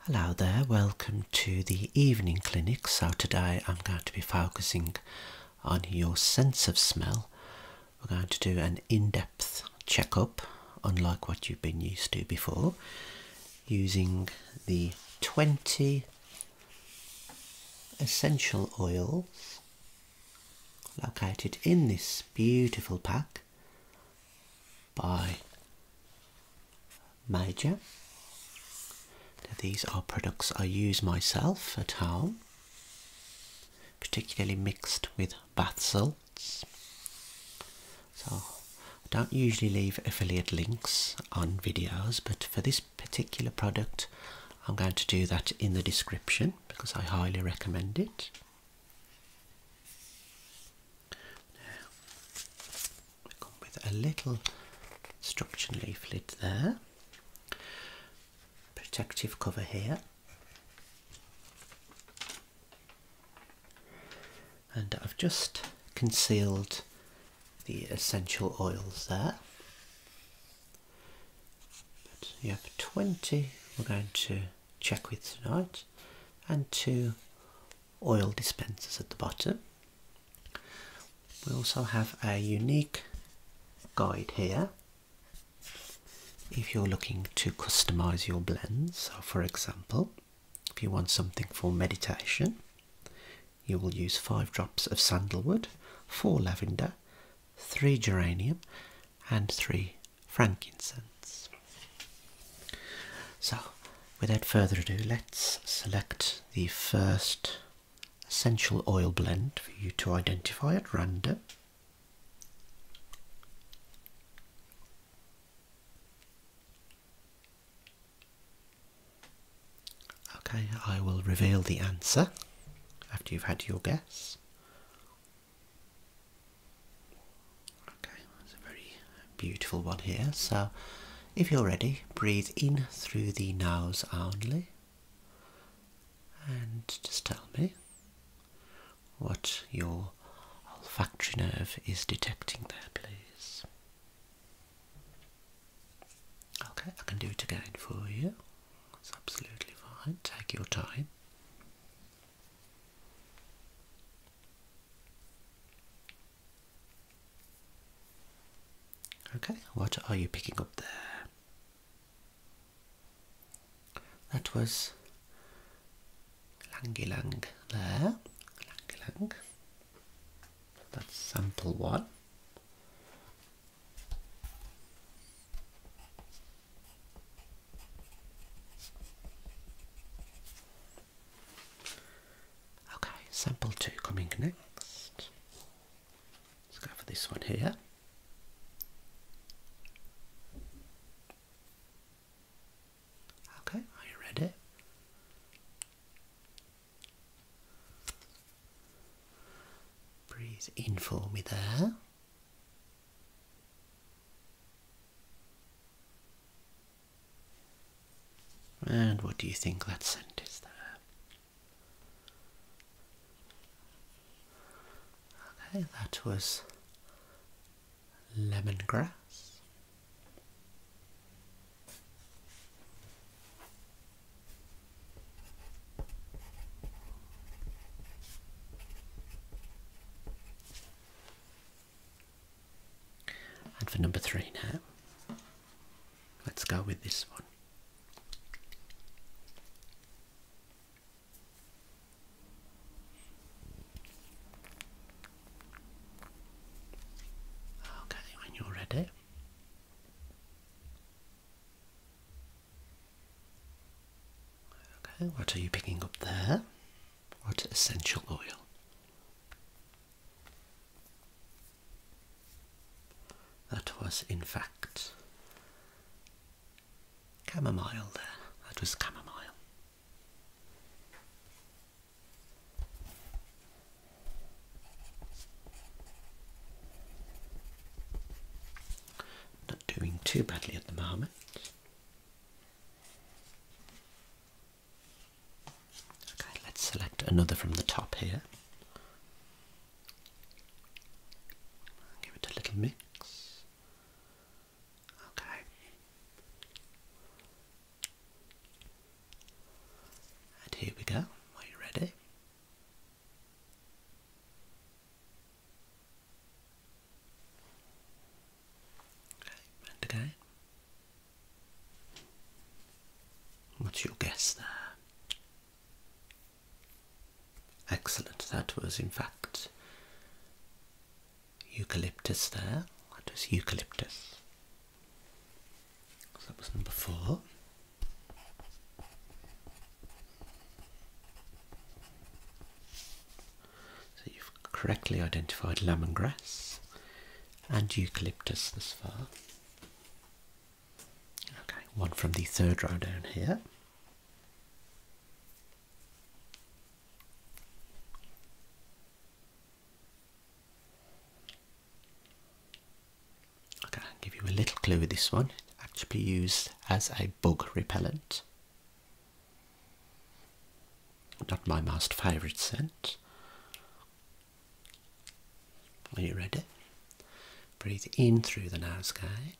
Hello there, welcome to the evening clinic. So, today I'm going to be focusing on your sense of smell. We're going to do an in depth checkup, unlike what you've been used to before, using the 20 essential oils located in this beautiful pack by Major. These are products I use myself at home, particularly mixed with bath salts. So I don't usually leave affiliate links on videos, but for this particular product, I'm going to do that in the description because I highly recommend it. Now, with a little instruction leaflet there, protective cover here, and I've just concealed the essential oils there. you have 20 we're going to check with tonight and two oil dispensers at the bottom. We also have a unique guide here if you're looking to customize your blends. So, for example, if you want something for meditation, you will use five drops of sandalwood, four lavender, three geranium, and three frankincense. So, without further ado, let's select the first essential oil blend for you to identify at random. Okay, I will reveal the answer after you've had your guess. Okay, that's a very beautiful one here. So, if you're ready, breathe in through the nose only and just tell me what your olfactory nerve is detecting there, please. Okay, I can do it again for you. That's absolutely fine. Take your time. Okay, what are you picking up there? That was Langilang there. That's sample one. Okay, sample two coming next. Let's go for this one here. Okay, are you ready? Breathe in for me there. And what do you think that scent is there? Okay, that was lemongrass. And for number three now, let's go with this one. Okay, when you're ready. Okay, what are you picking up there? What essential oil? That was, in fact, chamomile there. That was chamomile. Not doing too badly at the moment. Okay, let's select another from the top here. Give it a little mix. Okay. And here we go. Are you ready? Okay, What's your guess there? Excellent, that was in fact eucalyptus there. That was eucalyptus. that was number four. So you've correctly identified lemongrass and eucalyptus thus far. Okay, one from the third row down here. Okay, give you a little clue with this one. It's actually used as a bug repellent. Not my most favourite scent. Are you ready? Breathe in through the nose again.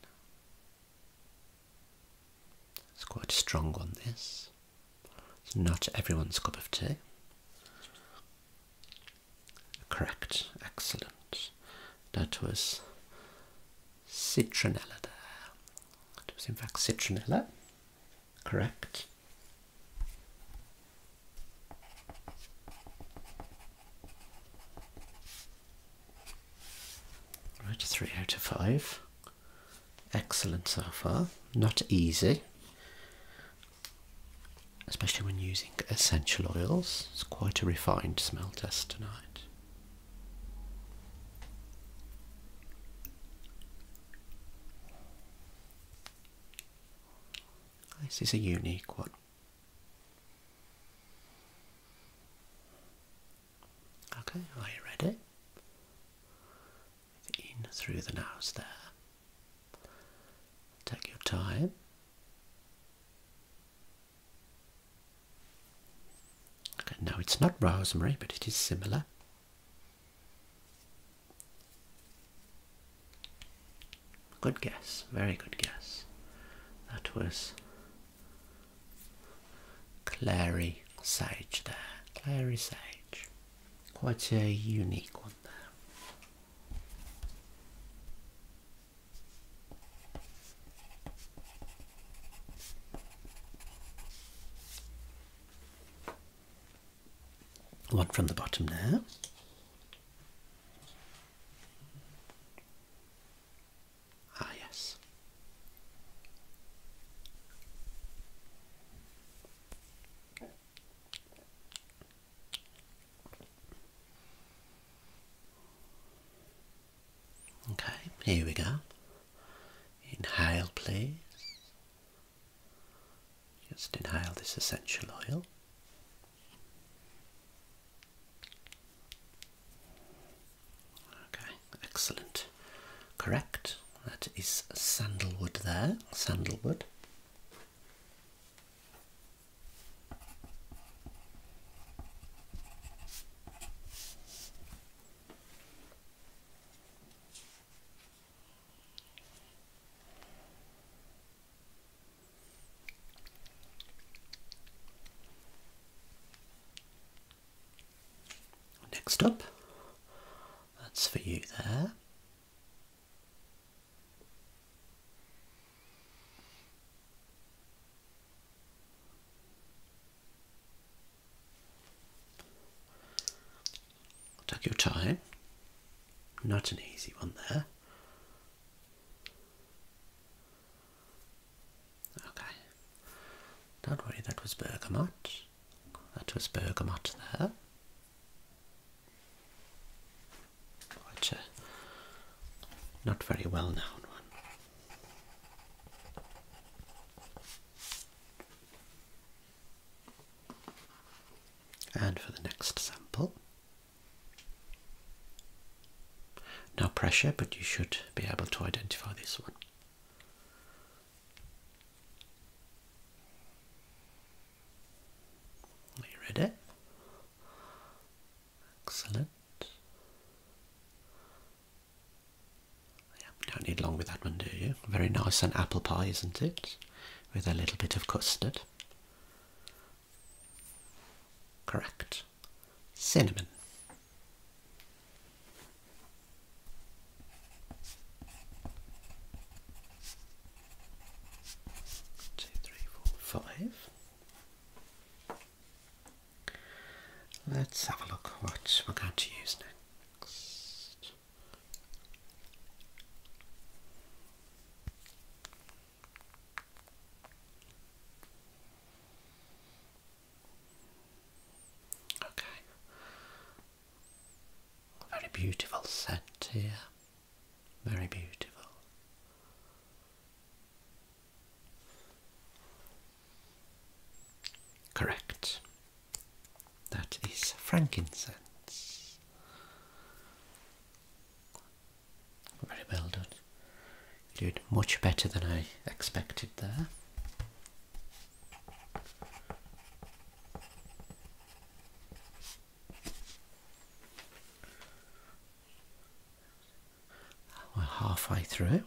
It's quite strong on this. It's not everyone's cup of tea. Correct, excellent. That was citronella there. It was in fact citronella. Correct. Right, three out of five. Excellent so far. Not easy, especially when using essential oils. It's quite a refined smell test tonight. This is a unique one. Okay, are you ready? In through the nose there. Take your time. Okay, no, it's not rosemary, but it is similar. Good guess, very good guess. That was Clary Sage there. Clary Sage. Quite a unique one there. One from the bottom there. Ah, yes. Okay, here we go. Inhale, please. Just inhale this essential oil. Okay, excellent. Correct. That is sandalwood there, sandalwood. Next up, that's for you there. Take your time. Not an easy one there. Okay. Don't worry, that was bergamot. That was bergamot there. Quite a very well known one. And for the next sample, no pressure, but you should be able to identify this one. Are you ready? Excellent. Yeah, don't need long with that one, do you? Very nice and apple pie, isn't it? With a little bit of custard. Correct. Cinnamon. Two, three, four, five. Let's have a look what we're going to use next. Okay. Very beautiful scent here. Very beautiful. Correct. That is frankincense. Very well done. You did much better than I expected there. we halfway through.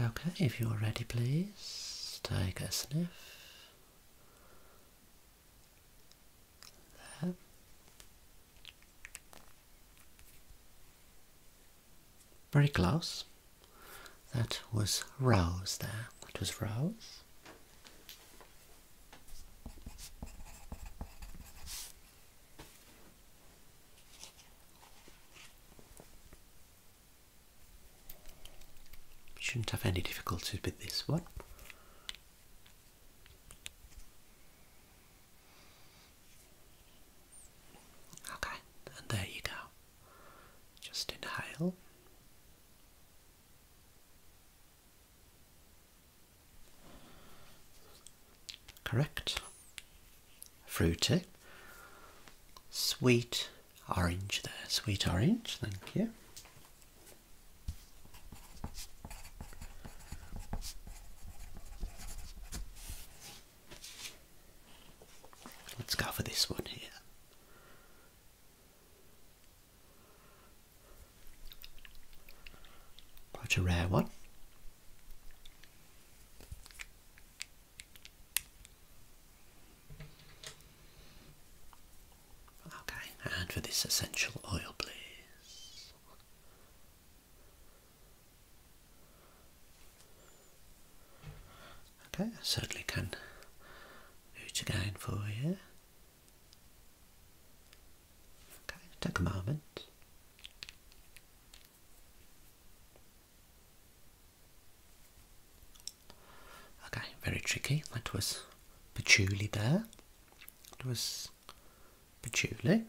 Okay, if you're ready, please take a sniff. There. Very close. That was rouse. there. That was rouse. Shouldn't have any difficulties with this one. Okay, and there you go. Just inhale Correct. Fruity. Sweet orange there. Sweet orange, thank you. Let's go for this one here. Quite a rare one. Okay, and for this essential oil, please. Okay, I certainly can do it again for you. Okay, take a moment. Okay, very tricky. That was patchouli there. It was patchouli.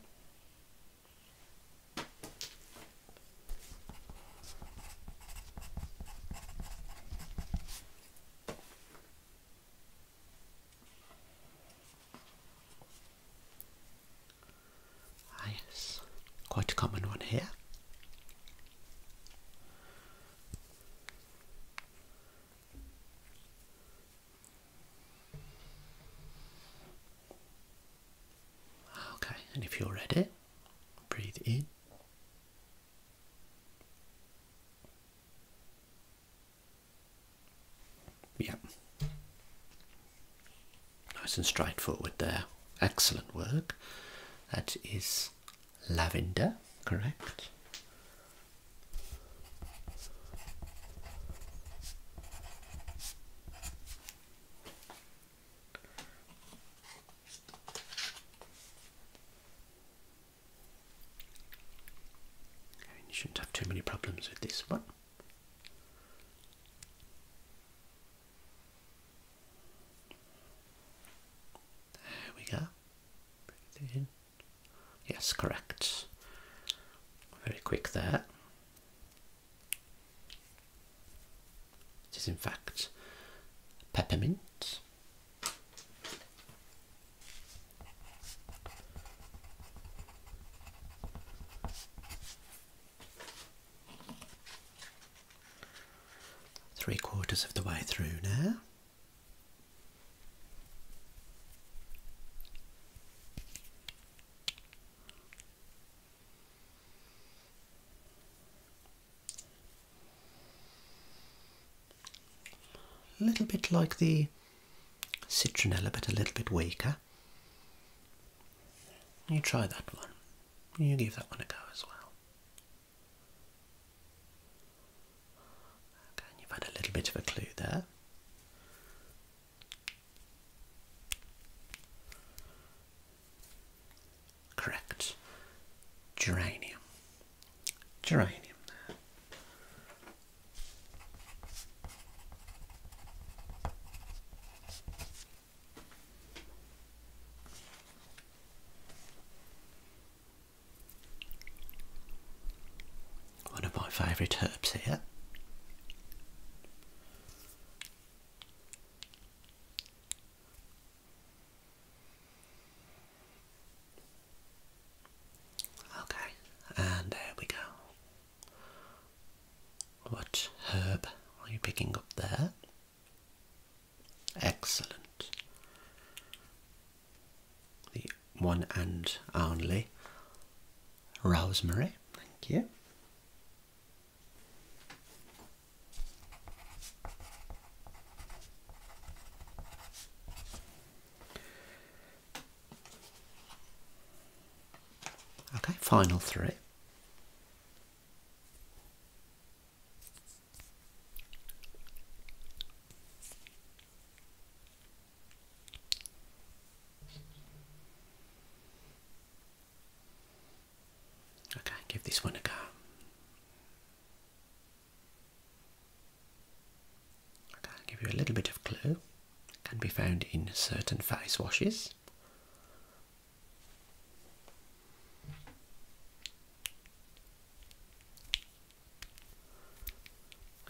Ah yes, quite a common one here. Okay, and if you're ready, breathe in yeah. Nice and straightforward there. Excellent work. That is lavender, correct? you shouldn't have too many problems with this one. There we go. in. Yes, correct. Very quick there. It is in fact peppermint. Three quarters of the way through now. A little bit like the citronella, but a little bit weaker. You try that one. You give that one a go as well. Okay, you've had a little bit of a clue there. Correct. Geranium. Geranium One of my favourite herbs here. Okay, and there we go. What herb are you picking up there? Excellent. The one and only rosemary, thank you. Okay, final three. Okay, give this one a go i give you a little bit of clue. can be found in certain face washes.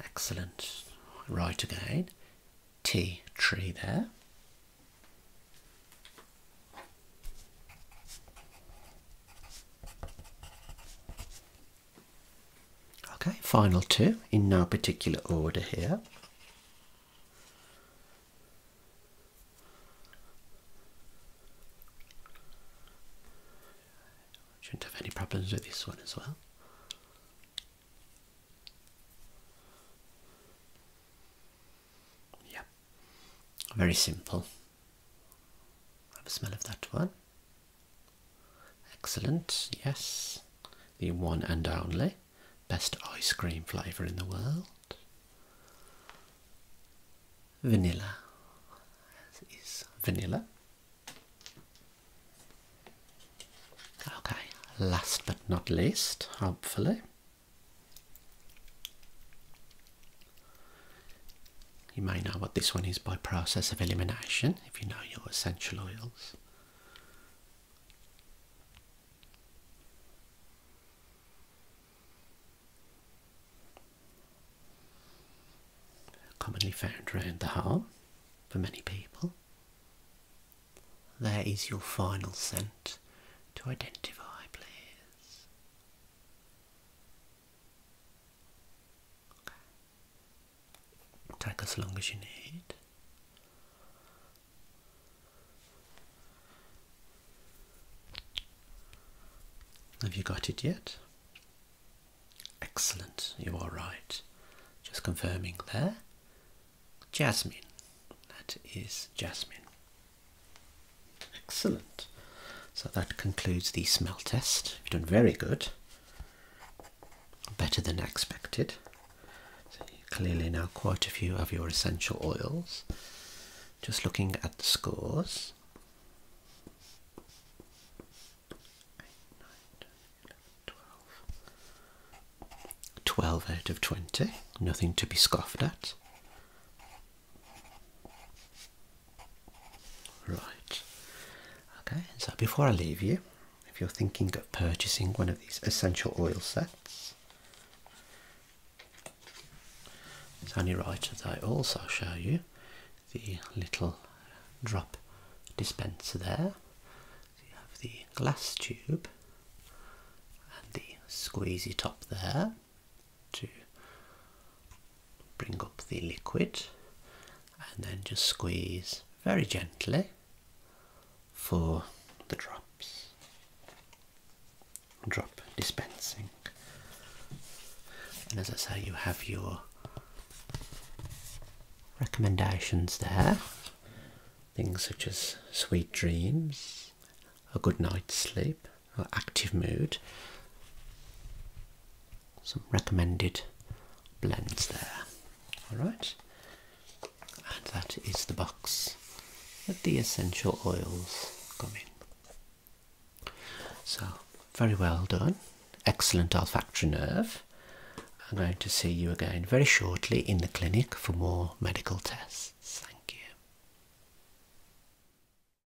Excellent. Right again. T tree there. Okay, final two in no particular order here. Shouldn't have any problems with this one as well. Yep. Very simple. Have a smell of that one. Excellent, yes. The one and only best ice cream flavour in the world. Vanilla is vanilla. Okay, last but not least, hopefully, you may know what this one is by process of elimination if you know your essential oils. Commonly found around the home for many people. There is your final scent to identify, please. Take as long as you need. Have you got it yet? Excellent, you are right. Just confirming there. Jasmine. That is Jasmine. Excellent. So that concludes the smell test. You've done very good. Better than expected. clearly now quite a few of your essential oils. Just looking at the scores. 12 out of 20. Nothing to be scoffed at. Right. Okay, so before I leave you, if you're thinking of purchasing one of these essential oil sets, it's only right that I also show you the little drop dispenser there. So you have the glass tube and the squeezy top there to bring up the liquid and then just squeeze very gently for the drops. Drop dispensing. And as I say, you have your recommendations there. Things such as sweet dreams, a good night's sleep, active mood. Some recommended blends there. Alright, and that is the box that the essential oils coming. in. So, very well done. Excellent olfactory nerve. I'm going to see you again very shortly in the clinic for more medical tests. Thank you.